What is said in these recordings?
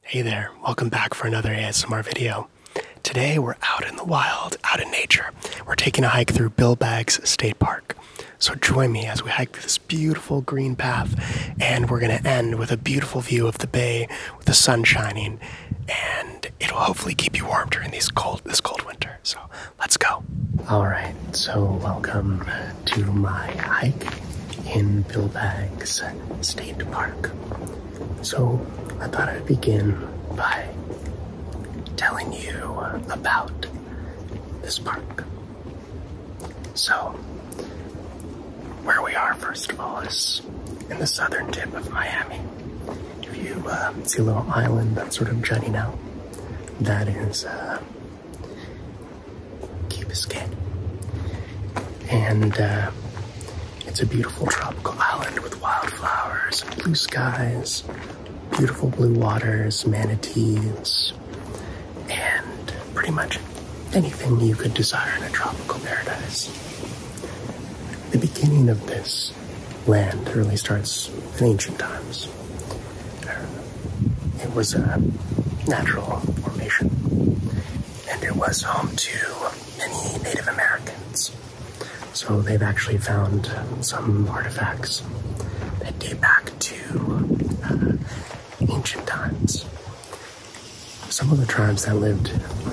Hey there, welcome back for another ASMR video. Today we're out in the wild, out in nature. We're taking a hike through Bill State Park. So join me as we hike this beautiful green path and we're gonna end with a beautiful view of the bay with the sun shining and it'll hopefully keep you warm during these cold, this cold winter. So let's go. All right, so welcome to my hike in Bill Baggs State Park. So I thought I'd begin by telling you about this park. So, where we are, first of all, is in the southern tip of Miami. If you uh, see a little island that's sort of jutting out, that is uh, Key Biscayne. And uh, it's a beautiful tropical island with wildflowers and blue skies, beautiful blue waters, manatees, and pretty much anything you could desire in a tropical paradise. The beginning of this land really starts in ancient times. It was a natural formation and it was home to many Native Americans. So they've actually found uh, some artifacts that date back to uh, ancient times. Some of the tribes that lived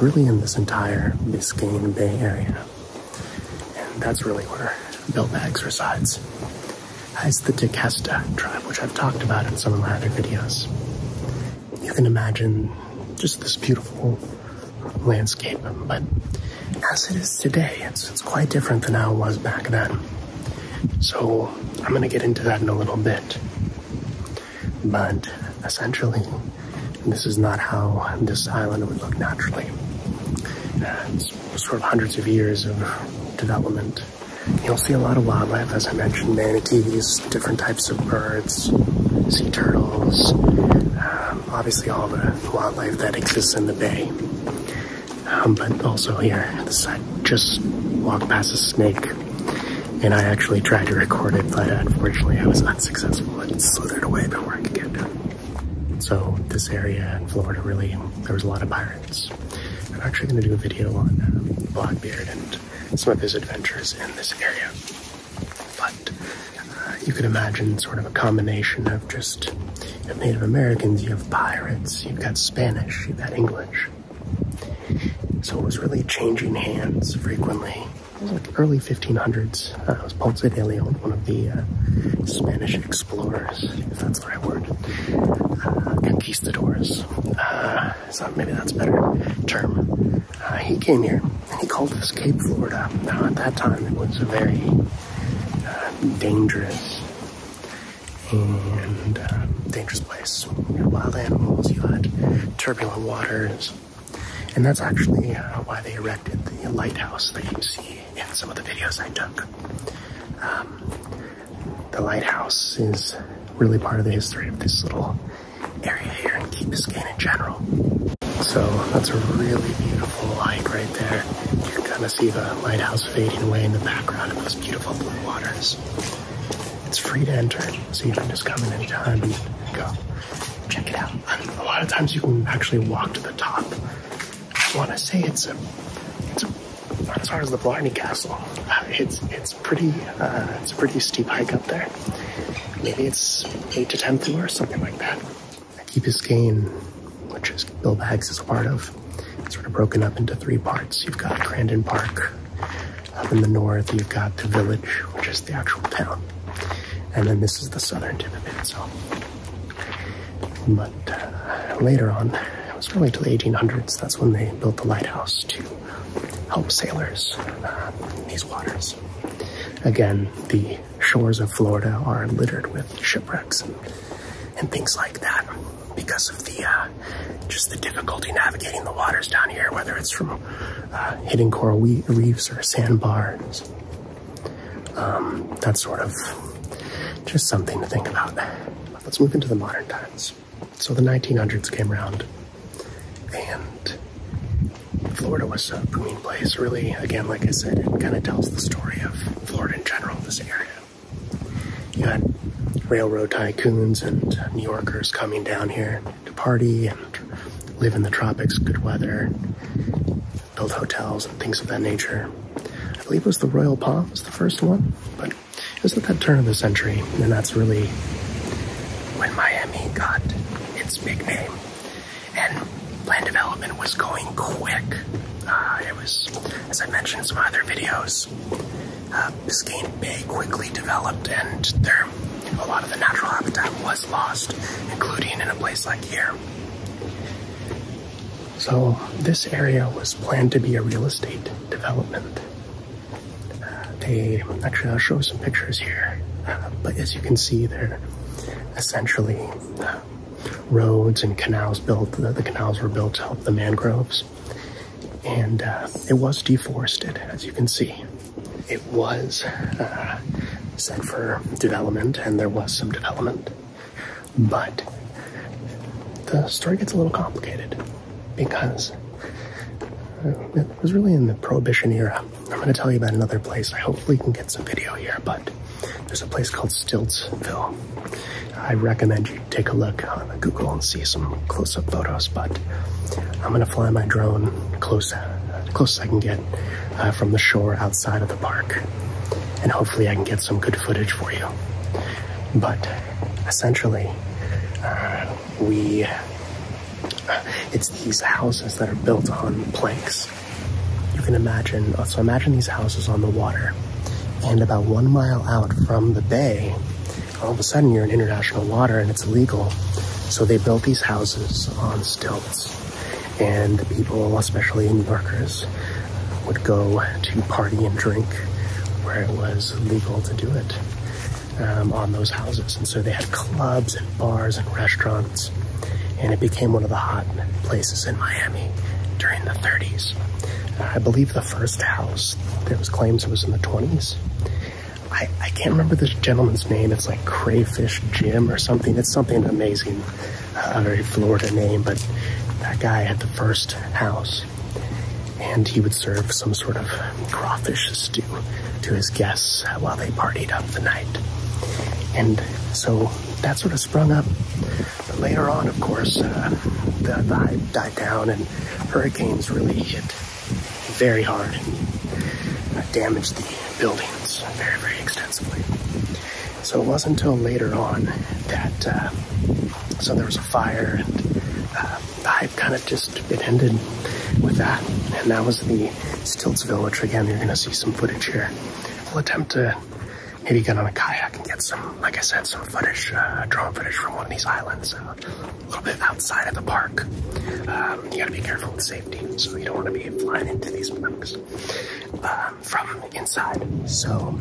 really in this entire Biscayne Bay area, and that's really where Beltbags resides as the Decasta tribe, which I've talked about in some of my other videos. You can imagine just this beautiful landscape, but as it is today, it's, quite different than how it was back then. So I'm going to get into that in a little bit. But essentially, this is not how this island would look naturally. Uh, it's sort of hundreds of years of development You'll see a lot of wildlife, as I mentioned, manatees, different types of birds, sea turtles, um, obviously all the wildlife that exists in the bay. Um, but also here, the I just walked past a snake, and I actually tried to record it, but unfortunately I was unsuccessful. It slithered away before I could get it. So this area in Florida really, there was a lot of pirates. I'm actually going to do a video on uh, Blackbeard and some of his adventures in this area. But uh, you could imagine sort of a combination of just Native Americans, you have pirates, you've got Spanish, you've got English. So it was really changing hands frequently. It was like early 1500s. Uh, it was Ponce de Leon, one of the Spanish explorers, if that's the right word, conquistadors. Jones. Uh, so maybe that's a better term. Uh, he came here and he called this Cape Florida. Now, at that time, it was a very uh, dangerous and uh, dangerous place. You had wild animals, you had turbulent waters, and that's actually why they erected the lighthouse that you see in some of the videos I took. Um, the lighthouse is really part of the history of this little area here in Key Biscayne in general. So that's a really beautiful light right there. You can kind of see the lighthouse fading away in the background of those beautiful blue waters. It's free to enter, so you can just come in anytime and go check it out. a lot of times you can actually walk to the top. I want to say it's it's a as far as the Blarney Castle. Uh, it's it's pretty uh, it's a pretty steep hike up there. Maybe it's eight to ten through or something like that. Keep his cane, which is Bill Bags is a part of, sort of broken up into three parts. You've got Crandon Park up in the north. You've got the village, which is the actual town, and then this is the southern tip of it. So but uh, later on, it was really till the 1800s, that's when they built the lighthouse to help sailors in uh, these waters. Again, the shores of Florida are littered with shipwrecks and, things like that because of the uh, just the difficulty navigating the waters down here, whether it's from uh, hitting coral reefs or sandbars. Um, that's sort of just something to think about let's move into the modern times. So the 1900s came around, and Florida was a booming place. Really, again, like I said, it kind of tells the story of Florida in general, this area. You had railroad tycoons and New Yorkers coming down here to party and live in the tropics, good weather, build hotels and things of that nature. I believe it was the Royal Palm was the first one, but it was at that turn of the century, and that's really when Miami got its big name. And land development was going quick. Uh, it was, as I mentioned in some other videos, uh, Biscayne Bay quickly developed, and there, a lot of the natural habitat was lost, including in a place like here. So, this area was planned to be a real estate development. Uh, they actually, I'll show some pictures here, uh, but as you can see, they're essentially uh, roads and canals built. The, the, canals were built to help the mangroves, and it was deforested, as you can see. It was set for development, and there was some development. But the story gets a little complicated because uh, it was really in the Prohibition era. I'm going to tell you about another place. I hopefully can get some video here, but there's a place called Stiltsville. I recommend you take a look on Google and see some close-up photos, but I'm going to fly my drone close, uh, close as I can get uh, from the shore outside of the park and hopefully I can get some good footage for you. But essentially, uh, we uh, it's these houses that are built on planks. You can imagine, uh, so imagine these houses on the water, and about one mile out from the bay, all of a sudden you're in international water and it's illegal. So they built these houses on stilts and the people, especially New Yorkers, would go to party and drink where it was legal to do it um, on those houses. And so they had clubs and bars and restaurants, and it became one of the hot places in Miami during the 30s. I believe the first house, there was claims it was in the 20s. I, I can't remember this gentleman's name. It's like Crayfish Jim or something. It's something amazing a uh, very Florida name, but that guy had the first house. And he would serve some sort of crawfish stew to his guests while they partied up the night. And so that sort of sprung up. But later on, of course, uh, the vibe died down and hurricanes really hit very hard and damaged the buildings very, very extensively. So it wasn't until later on that, uh, so there was a fire and uh, I kind of just, it ended with that. And that was the Stilts Village. Again, you're gonna see some footage here. We'll attempt to maybe get on a kayak and get some, like I said, some footage, uh, drone footage from one of these islands, uh, a little bit outside of the park. Um, you gotta be careful with safety, so you don't wanna be flying into these things from inside. So,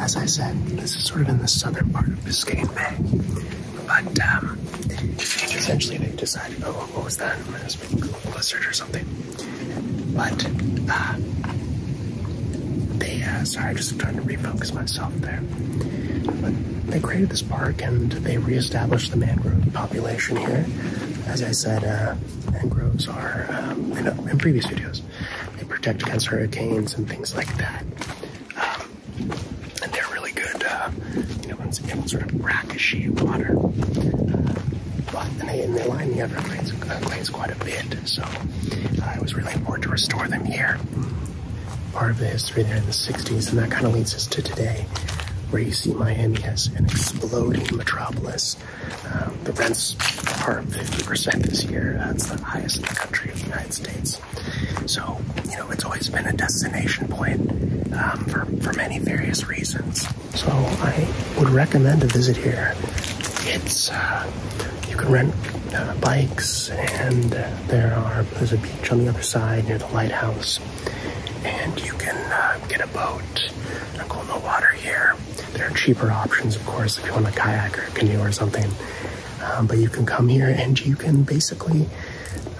as I said, this is sort of in the southern part of Biscayne Bay. But um, essentially, they decided, oh, what was that? It was a blizzard or something. But uh, they, uh, sorry, i just trying to refocus myself there. But they created this park and they reestablished the mangrove population here. As I said, uh, and groves are um, in, previous videos. They protect against hurricanes and things like that. Um, and they're really good, uh, you know, once sort of brackish water. Uh, but, and, they, and they line the Everglades uh, quite a bit, so uh, it was really important to restore them here. Part of the history there in the 60s, and that kind of leads us to today, where you see Miami as an exploding metropolis um, the rents are 50% this year. That's the highest in the country of the United States. So, you know, it's always been a destination point um, for, for many various reasons. So I would recommend a visit here. It's, uh, you can rent uh, bikes and there are, there's a beach on the other side near the lighthouse and you can uh, get a boat and go in the water here. There are cheaper options, of course, if you want a kayak or a canoe or something. Um, but you can come here and you can basically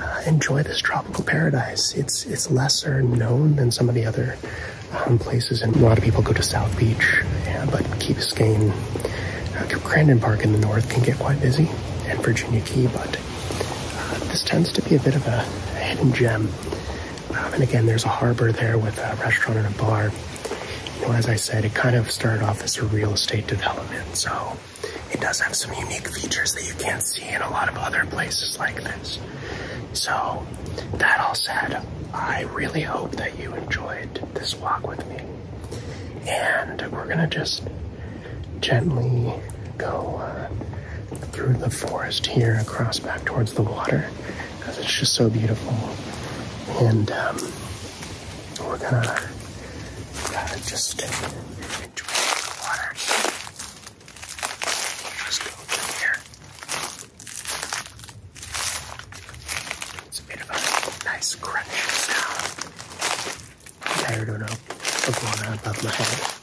uh, enjoy this tropical paradise. It's it's lesser known than some of the other um, places, and a lot of people go to South Beach, but Key Biscayne, uh, Crandon Park in the north can get quite busy, and Virginia Key, but this tends to be a bit of a hidden gem. Um, and again, there's a harbor there with a restaurant and a bar. as I said, it kind of started off as a real estate development, so it does have some unique features that you can't see in a lot of other places like this. So, that all said, I really hope that you enjoyed this walk with me. And we're gonna just gently go uh, through the forest here across back towards the water because it's just so beautiful. And um, we're gonna just enjoy the water. Just go through here. It's a bit of a nice crunching sound. I'm tired of, of going on above my head.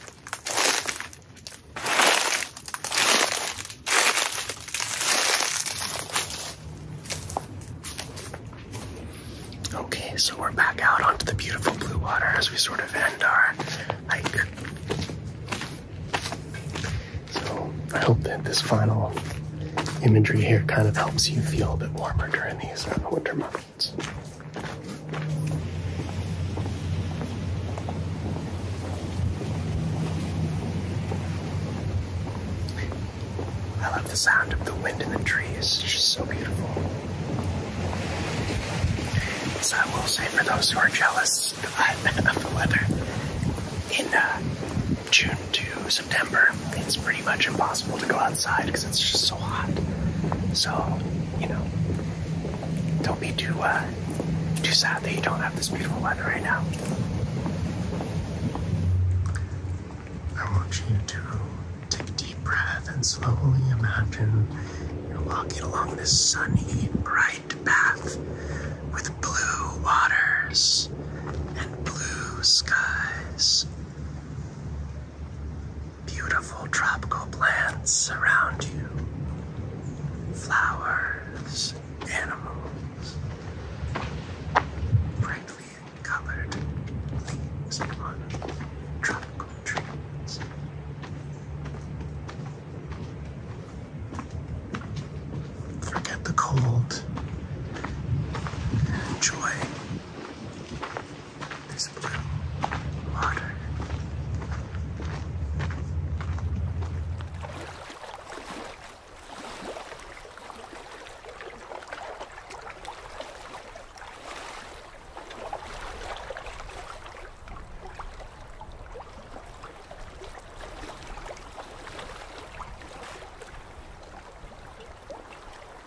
Okay, so we're back out onto the beautiful blue water as we sort of end our hike. So I hope that this final imagery here kind of helps you feel a bit warmer during these uh, winter months. I love the sound of the wind in the trees, it's just so beautiful. So I will say for those who are jealous of the weather, in uh, June to September, it's pretty much impossible to go outside because it's just so hot. So, you know, don't be too uh, too sad that you don't have this beautiful weather right now. I want you to take a deep breath and slowly imagine you're walking along this sunny, bright path with blue waters and blue skies. Beautiful tropical plants surround you. Flowers, animals, brightly colored leaves on tropical trees. Forget the cold enjoy this blue water.